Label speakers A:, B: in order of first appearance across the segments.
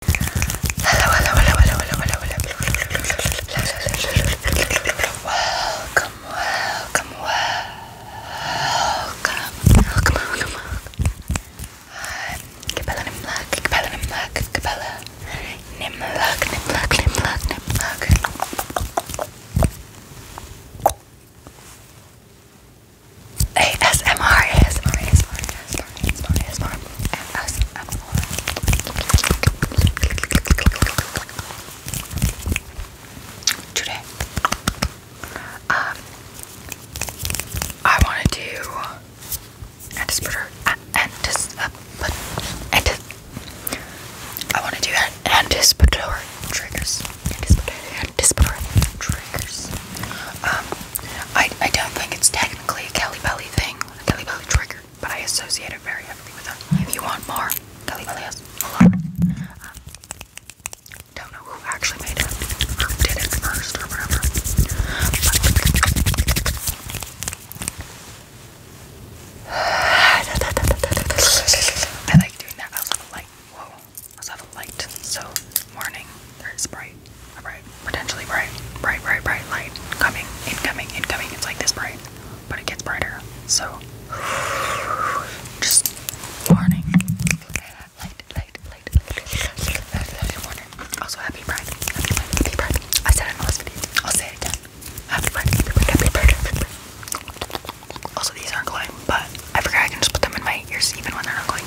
A: Hello, hello, hello, hello, hello, hello, hello. Welcome, welcome, welcome, welcome, welcome. Hi, Capella Nimlak, Capella Nimlak, Capella Nimlak, Nimlak, Nimlak, Nimlak. ASMR, ASMR, ASMR. Today, um, I want to do anticipator, anticipatory, anticipatory. I want to do anticipatory triggers, anticipatory, triggers. Um, I, I don't think it's technically a Kelly Belly thing, a Kelly Belly trigger, but I associate it very heavily with them. If you want more, Kelly Belly has a lot. Um, don't know who actually made it, did it first, or whatever. I like doing that. I also have a light. Whoa. I also have a light. So, warning, there is bright bright, potentially bright, bright, bright, bright light coming, incoming, incoming. It's like this bright, but it gets brighter. So, just warning. Light, light, light, Also, happy pride, happy pride, happy pride. I said it in the last video. I'll say it again. Happy pride, happy pride, happy pride, Also, these aren't glowing, but I forgot I can just put them in my ears even when they're not glowing.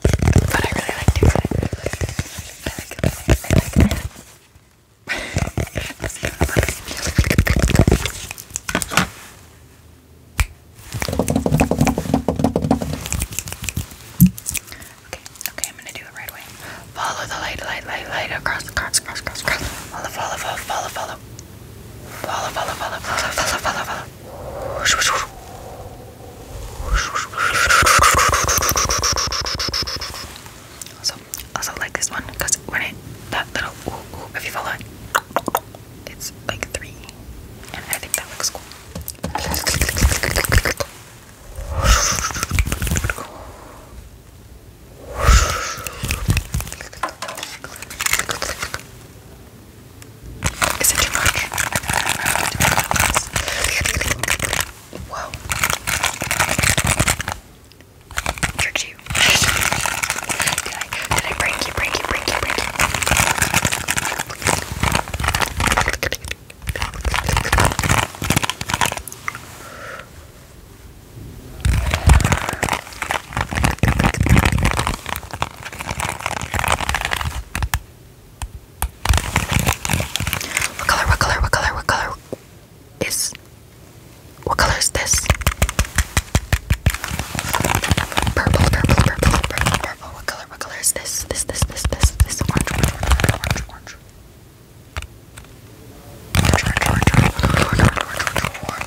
A: But I really like doing it. I like it. I like it. I like it. I like it. Okay, okay, I'm gonna do it right away. Follow the light, light, light, light across, across, across, across, across. Follow, follow, follow, follow, follow. Follow, follow, follow, follow, follow, follow, follow. Also, also like this one because when it that little ooh, ooh, if you follow it, it's like three, and I think that looks cool. Is it too much? Whoa. Tricked you. did I did I prank you, prank you, prank you, prank you? What color, what color, what color, what color is. What color is this? Purple, purple, purple, purple, purple. What color, what color is this? This, this, this, this, this. Orange, orange, orange, orange, orange, orange, orange, orange, orange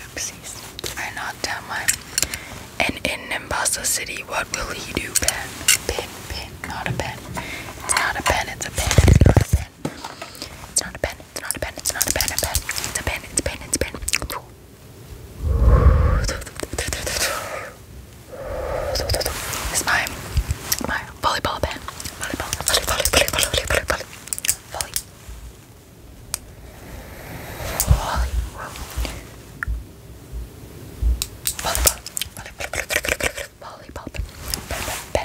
A: Oopsies. I knocked down my and in Nimbasa City, what will he do? Pen. Pin, pin, not a pen. It's not a pen, it's a pen pen. It's not a pen. It's not a pen. It's not a pen. A pen. It's a pen. It's a pen. It's a pen. It's my volleyball pen. Volleyball. Volleyball. Volleyball. Volleyball. Volleyball. Volleyball. Volleyball. Volleyball. Volleyball. Volleyball. Volleyball.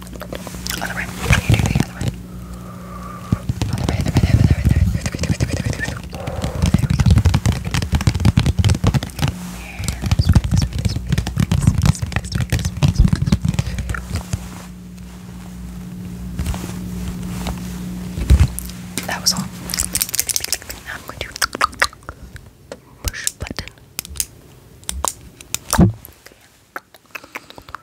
A: Other way. You do the other way. Other way, other way, other way, other way, other way, other way, other way, other way, That was all. Now I'm going to push button.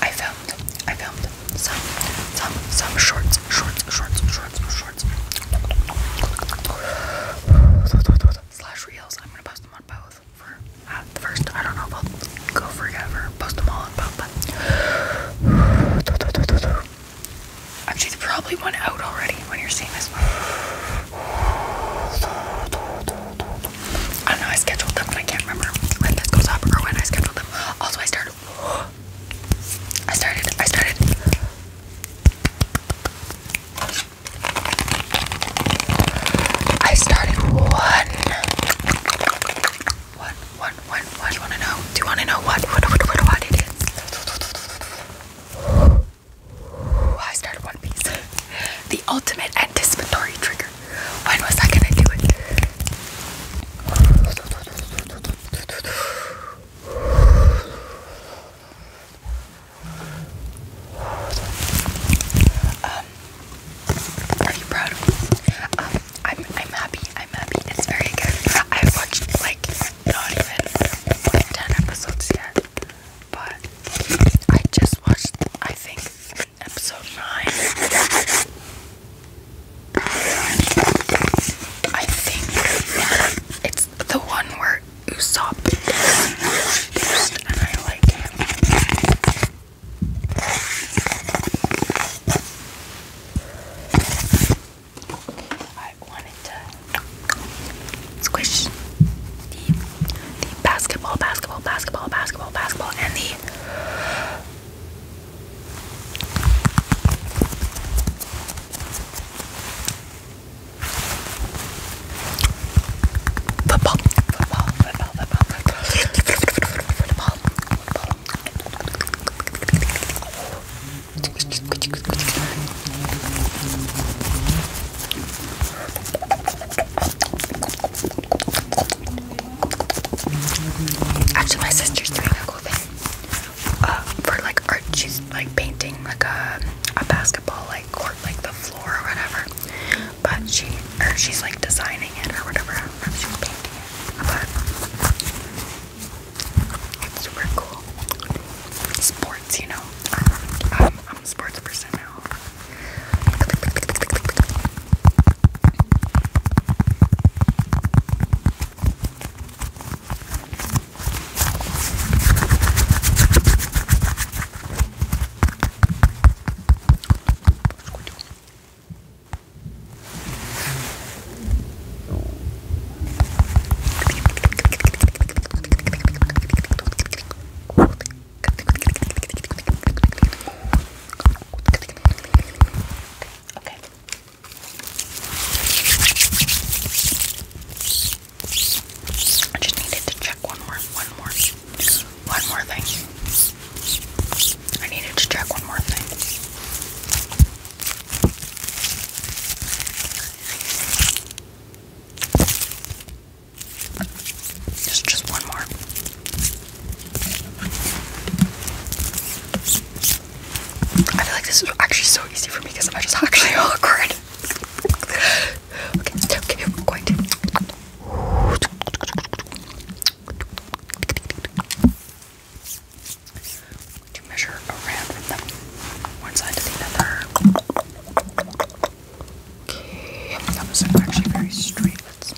A: I filmed, I filmed some, some, some shorts, shorts, shorts, shorts, shorts, slash reels. I'm gonna post them on both for uh, the first. I don't know if I'll go forever, post them all on both, but actually, probably went out already when you're seeing this. I don't know, I scheduled them and I can't remember when this goes up or when I scheduled them. Also I started I started I started I started one What what what what do you wanna know? Do you wanna know what what what what, what it is? I started One Piece. the ultimate anticipatory trigger. When was I gonna do it? Um, are you proud of me? Um, I'm, I'm happy. I'm happy. It's very good. I've watched like not even 10 episodes yet. But I just watched, I think, episode 9. I think it's the one where Usopp I wanted to squish the, the basketball, basketball, basketball, basketball, basketball, and the football, football, football, football, football, football, football. Squish, squish, squish, squish. Actually, my sister's doing a cool thing uh, for like art. She's like painting like a a basketball like court, like the floor or whatever. But she or she's like designing it or whatever. she's painting it, super cool. Sports, you know. Um, I'm a sports person now. Okay. I just needed to check one more, one more, one more thing. I needed to check one more thing. Just, just one more. I feel like this is actually so easy for me because I'm just actually awkward. okay, okay, we're going to. measure around from one side to the other. Okay, that was actually very straight. let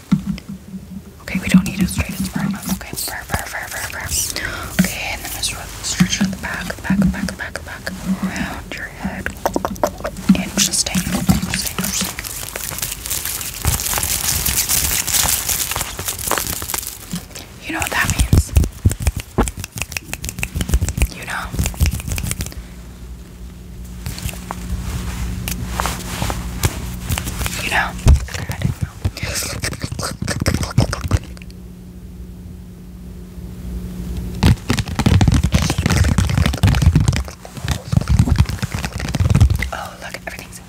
A: Okay, we don't need a straight. It's firm. Okay, firm, firm, firm, firm, firm. Okay, and then just stretch it at the back, back, back, back, back, around your head. Interesting. You know what that means? You know? You know? Oh, look, everything's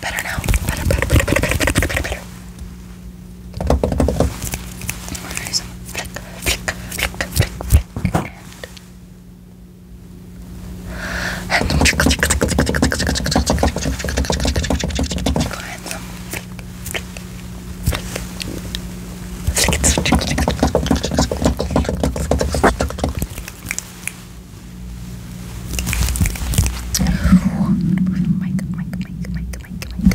A: better now. better, better, better, better, better, better, better. Nice and flick, flick, flick, flick, flick, and and some trickle, trickle, trickle, trickle, trickle, trickle, trickle, trickle, trickle, trickle, trickle, and some flick, flick, flick, flick, Mike, Mike, Mike, Mike, Mike, Mike.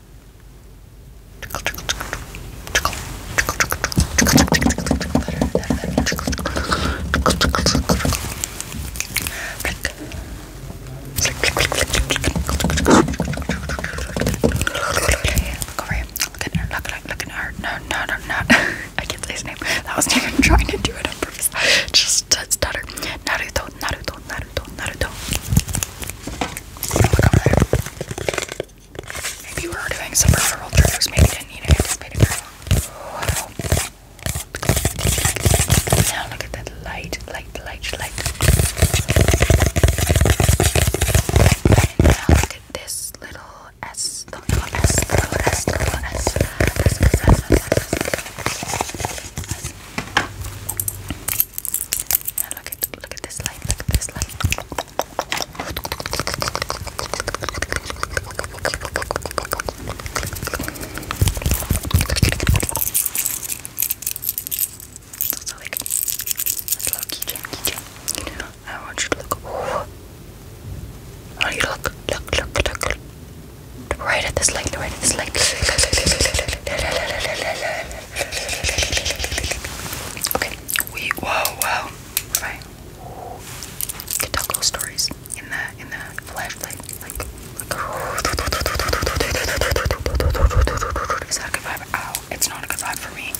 A: Look over here. Look at her. Look at her. Look at her. No, no, no, no. I can't say his name. That wasn't even trying to do it on purpose. Just stutter. Naruto, Naruto, Naruto, Naruto. Maybe we were doing some peripheral triggers, maybe didn't need to anticipate it Now look at that light, light, light, light. now look at this little S, little S, little S, little S, S, S, S, S, S, S look at look at this light, look at this light. It's also like a low keychain, keychain. You I want you to look. I want you to look, look, look, look. Right at this light, right at this light. Okay. We whoa whoa. Right. Can tell ghost stories in the in the flashlight. Like, like Is that a good vibe? Ow, oh, it's not a good vibe for me.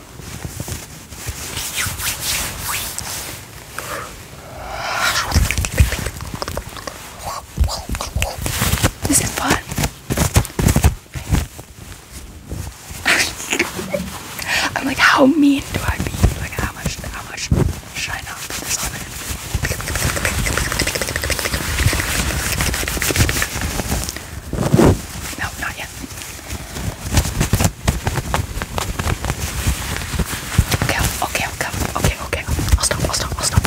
A: This is fun. I'm like, how mean do I be? Like, how much, how much should I not put this on No, not yet. Okay, okay, okay, okay, okay. I'll stop, I'll stop, I'll stop.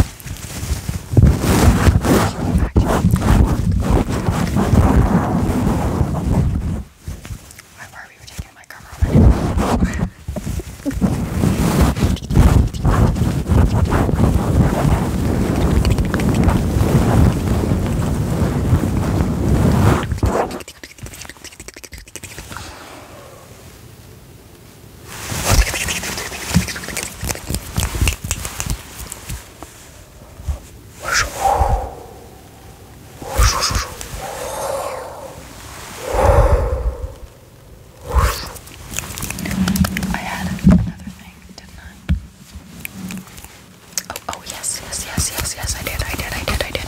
A: I worry we were taking my camera already. I had another thing, didn't I? Oh, oh, yes, yes, yes, yes, yes, I did, I did, I did, I did.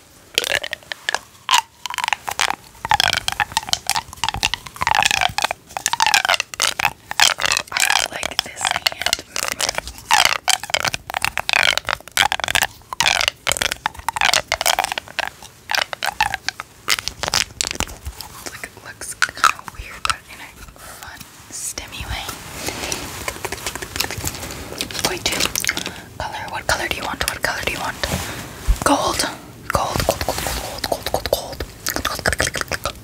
A: I like this hand movement. Look, it looks kind of weird, but in a fun, stemmy way. It's going to color. What color do you want? What color do you want? Gold. Gold, gold, gold, gold, gold, gold, gold.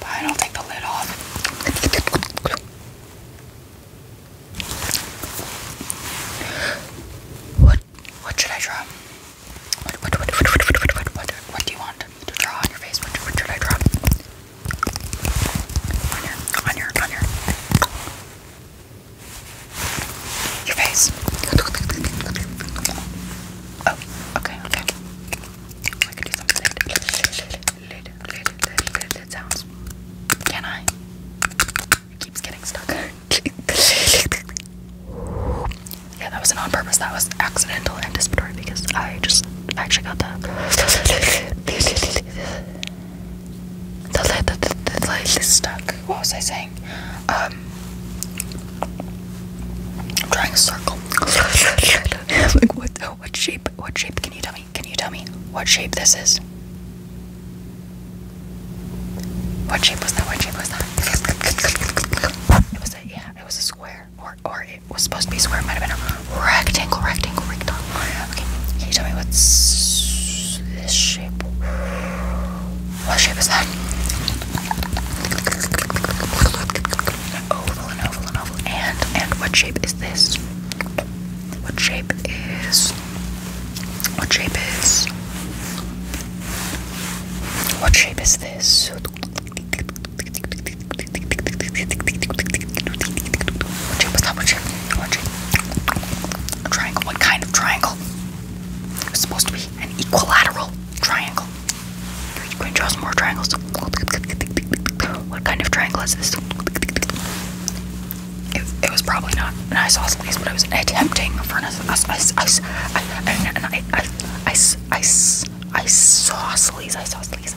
A: Fine, I'll take the lid off. What what should I draw? What what what what what what what what, what, what do you want to draw on your face? What, what should I draw? On your, on your, on your, your face. Oh, okay, okay. I can do something. Lid, lid, lid, lid, lid, lid sounds. Can I? It keeps getting stuck. yeah, that wasn't on purpose. That was accidental and anticipatory because I just I actually got that. the, light, the, the, light is stuck. What was I saying? Um, I'm drawing a circle. like, what, what shape? What shape? Can you tell me? Can you tell me what shape this is? What shape was that? What shape was that? It was a, yeah, it was a square or or it was supposed to be square. It might have been a rectangle, rectangle, rectangle. Okay, can tell me what's shape? What shape is that? Oval and oval and oval. And and what shape is this? What shape is? What shape is? What shape is this? What kind of triangle? It was supposed to be an equilateral triangle. you going to draw some more triangles. What kind of triangle is this? It, was probably not an isosceles, but I was attempting for an isosceles. saw Isosceles.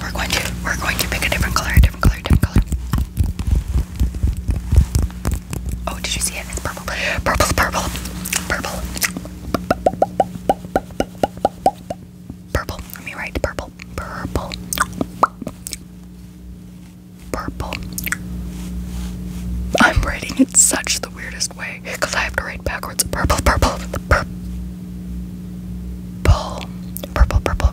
A: We're going to we're going to pick a different color, a different color, a different color. Oh, did you see it? It's purple. Purple, purple, purple. Purple. Let me write purple. Purple. Purple. I'm writing in such the weirdest way because I have to write backwards. Purple, purple, purple, purple, purple,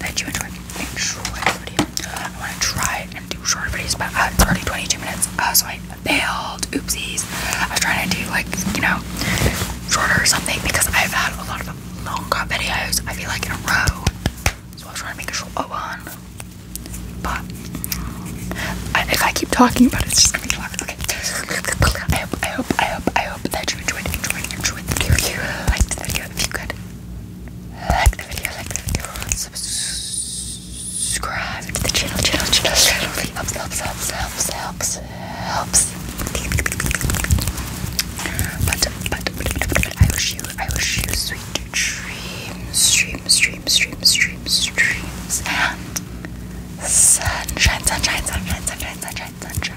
A: that you enjoy. Enjoy this video. I want to try and do shorter videos, but uh, it's already 22 minutes, uh, so I failed. Oopsies. I was trying to do like you know shorter or something because I've had a lot of long longer videos. I feel like in a row, so I was trying to make a short one. But if I keep talking about it, it's just gonna be long. Okay. I hope, I hope, I hope, I hope that you enjoyed, enjoyed, enjoyed the video. If the video, if you could like the video, like the video, subscribe to the channel, channel, channel, channel. Helps, helps, helps, helps, helps, helps. But, but, but, but I wish you, I wish you sweet dreams, dreams, dreams, dreams, dreams, dreams, and sunshine, sunshine, sunshine, sunshine, sunshine, sunshine.